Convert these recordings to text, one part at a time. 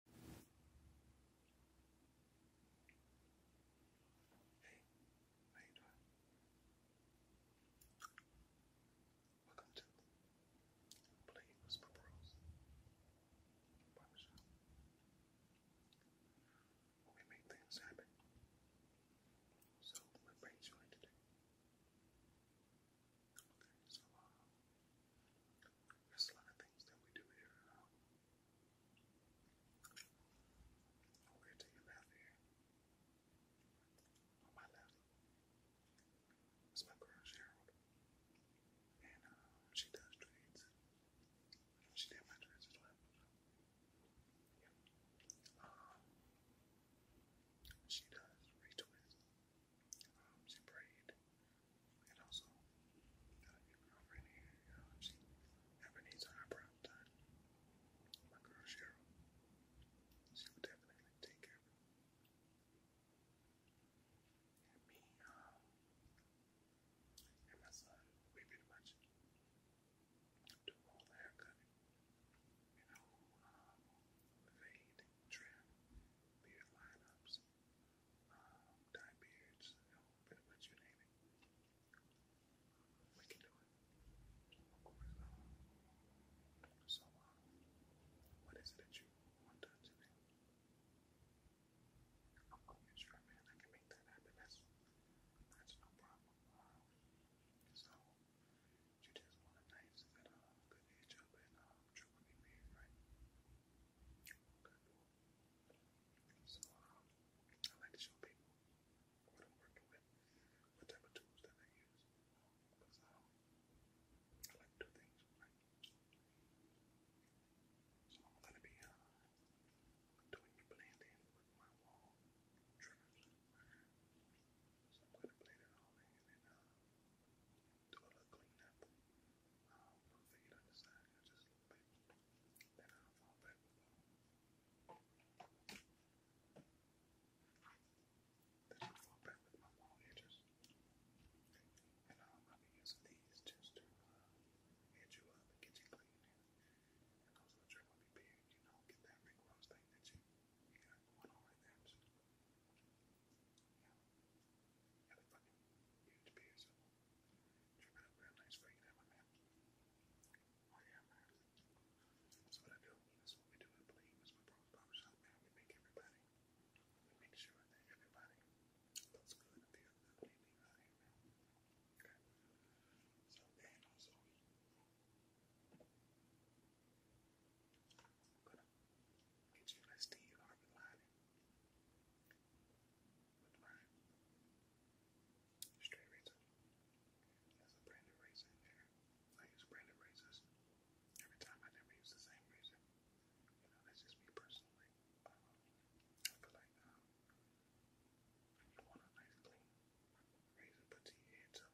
Hey, how you Welcome to Play Whisper Bros. we make things happen. So what brings you in today? There's a lot of things that we do here. Um, over to your left here. On my left. That's my girl, Cheryl. And uh, she does trades. She did my trades as Yeah. Um, she does retweets um, she prayed, and also got girlfriend You she ever needs her eyebrow done, my girl Cheryl, she will definitely take care of me, and my um, son, we pretty much do all the haircutting, you know, fade, trim, beard lineups um, dye beards, but you name it. We can do it. So, um, what is it that you want done today? I'm sure, man, I can make that happen. That's, that's no problem. so, you just want a knife that uh, edge up and um, truly be made, right? Good boy. So um, I like to show people what I'm working with, what type of tools that I use, because I like to do things So I'm gonna be uh, doing blending with my wall triggers. So I'm gonna blend it all in and uh, do a little cleanup. Um, just a little bit, then I'll fall back then i fall back with my long edges. And I'll be using these just to edge you up and get you clean. And also the trim will be big, you know, get that big thing that you, got going on right there. Had a so what I do. That's we do at Believe. That's my brother's man. We make everybody. We make sure that everybody looks good at the end of man. So and I'm going Get you blessed in your armor lining. With mine. Straight razor. There's a branded razor in there. I use branded razors. Every time I never use the same razor. You know, that's just me personally. Um, I feel like um, you want a nice clean razor, but your head, so I,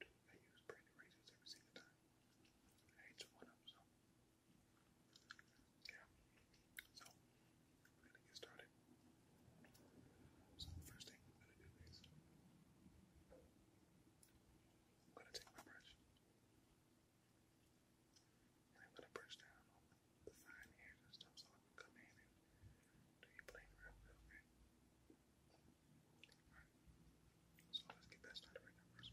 do, I use branded razors every single time. I one up, so yeah. So we're gonna get started. So first thing I'm gonna do is I'm gonna take my brush and I'm gonna brush down the fine hairs and stuff so I can come in and do your playing real quick. So let's get that started right now first.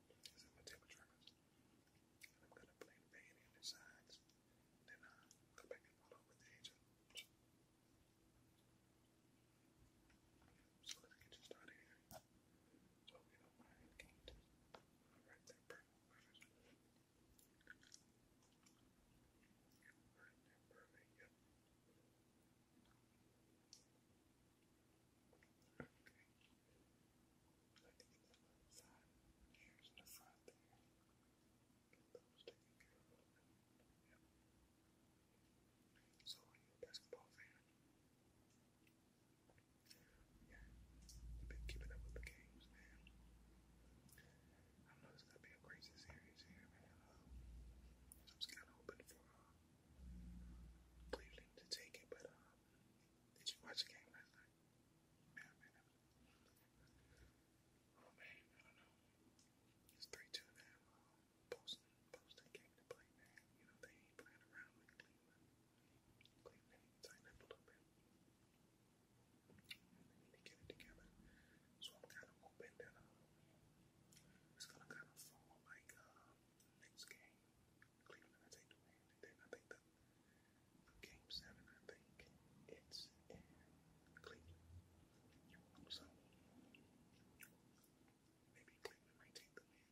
is in my table And I'm gonna play the band in the sides. Then I'll back and follow with the edge So let's get you started here. So oh, we perfect perfect. Alright, perfect, yep. Here's So you basketball fan? been keeping up with the games, man. I know it's gonna be a crazy series man. I was kinda hoping for uh, Cleveland to take it, but uh, did you watch the game last night? Oh man, I don't know. It's three two now. Boston, Boston came to play, man. You know they ain't playing around with Cleveland. Cleveland tighten up a little bit. And they get it together. So I'm kind of hoping that uh, it's gonna kind of fall like uh, next game. Cleveland to take the win. And I think the game seven, I think it's Cleveland. So maybe Cleveland might take the win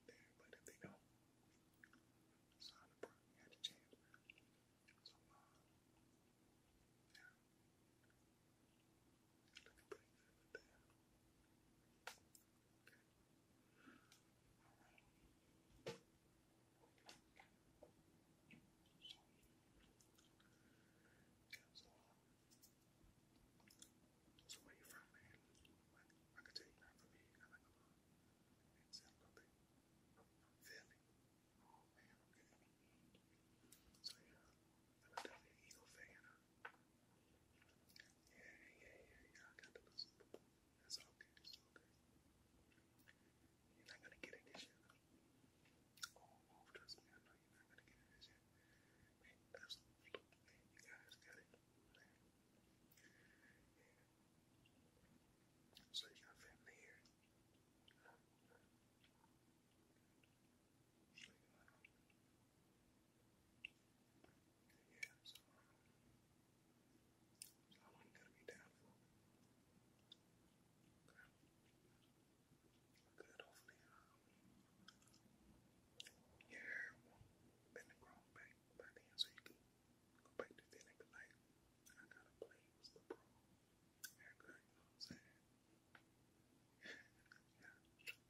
there, but if they don't, so the probably had a chance. So yeah. So where you from, man? I can tell you not from here. I like, Philly. Oh man, okay. So yeah, I'm a Eagle fan. Yeah, yeah, yeah, yeah. I got the listen. That's all good. It's You're not gonna get it this year. Oh, trust me. I know you're not gonna get it this year. Man, you guys got it. So you got family here. Yeah, so, um, so I wasn't gonna be down for it. But I, I could hopefully, um, your hair won't bend and grow back by then, so you can go back to thinning. But like, I gotta play with the pro haircut, you know what I'm saying? yeah,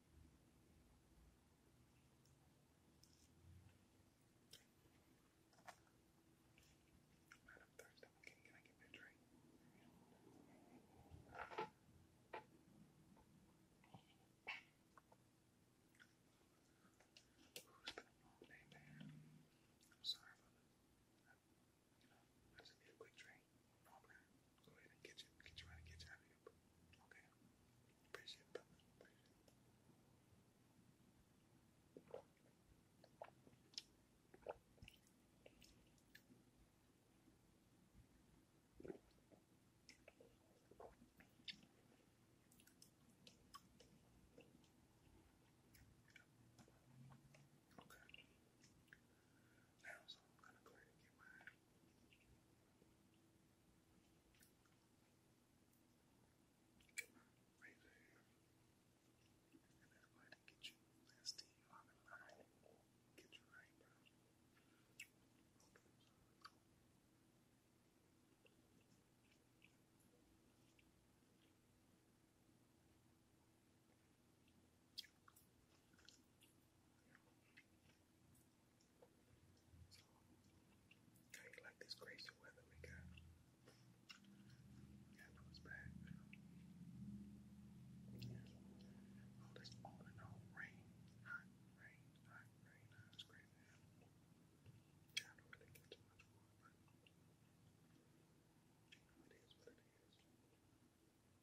Man, i Can, I get a drink? Ooh, has been a long day, man. I'm sorry, brother. you know, I just need a quick drink. Okay. Go ahead and get you, get you out, get you out of here. Okay. Appreciate it, Okay. Now, so I'm gonna go ahead and get my Come on, raise a hand. And everybody get you last team on the line. Get your eyebrows. Okay. I like this crazy weather we got. Yeah, no, bad. All this on and rain, hot rain, hot rain. Hot, it's crazy. I don't really get too much more, but you it is what it is.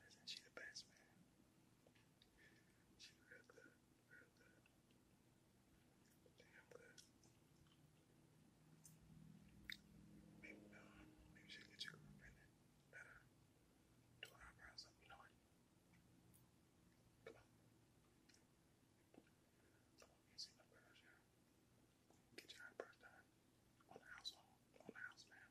Isn't she the best, man? She's real good, real good. Damn good. Maybe, uh, maybe she get you pregnant. Better. Do an eyebrows up, you know it. Come on. Come on, you see my brows, yeah. Get your eyebrows done. On house, on, house, man.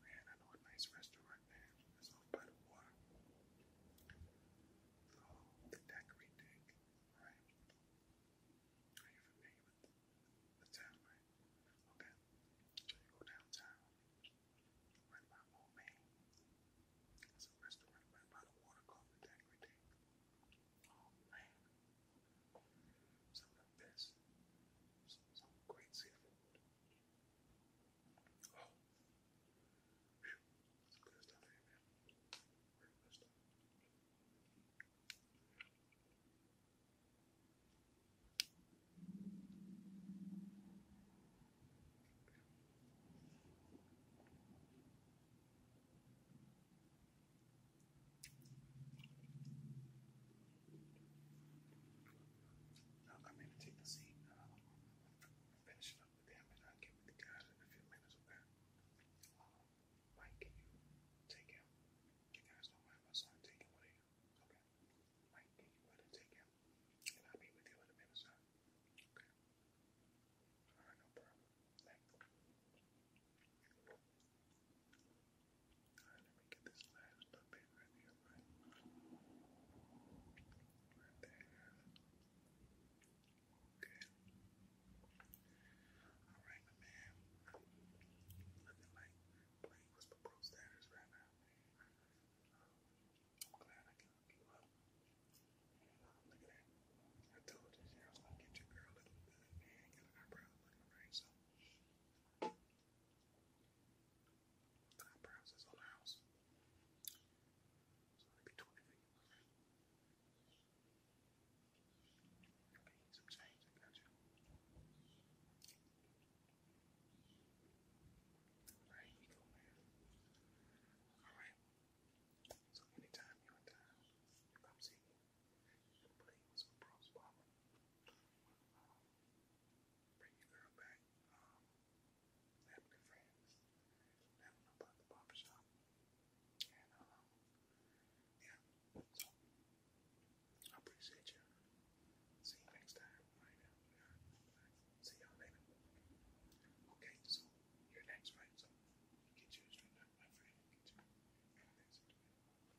man, I know a nice restaurant there. It's off by the water. So, the daiquiri right? Are you familiar with the, town, right? Okay. So, you go downtown, right by Old Main. There's a restaurant right by the water called the daiquiri Oh, man. So, this. Some, some great seafood. Oh, Whew. that's good stuff here, man. Very good stuff. Wow. Now I'm going to take the seat uh, finish up with him and I'll uh, get with the guys in a few minutes, okay? Uh, Mike, can you take him? You guys don't mind my son taking one of you? Okay. Mike, can you go ahead and take him? And I'll be with you in a minute, sir. Okay. Alright, no problem. Alright, let me get this last little bit right here, right? there. Okay. Alright, my man. Looking like playing with the pro right now, I'm glad I can hook you up. Look at that. I told you, I was gonna get your girl looking good, man. Get her eyebrows looking right, so. Five browsers on the house. So be 20 figures. Okay, some change, got you. There you go, man. Alright. So anytime you're come see me. But he was a pro bring your girl back. Um, Family friends. Let them know about the And, um, yeah. So, I appreciate you. See you next time. Right now. See y'all later. Okay, so you next, right? So, get you straight my friend. Get you.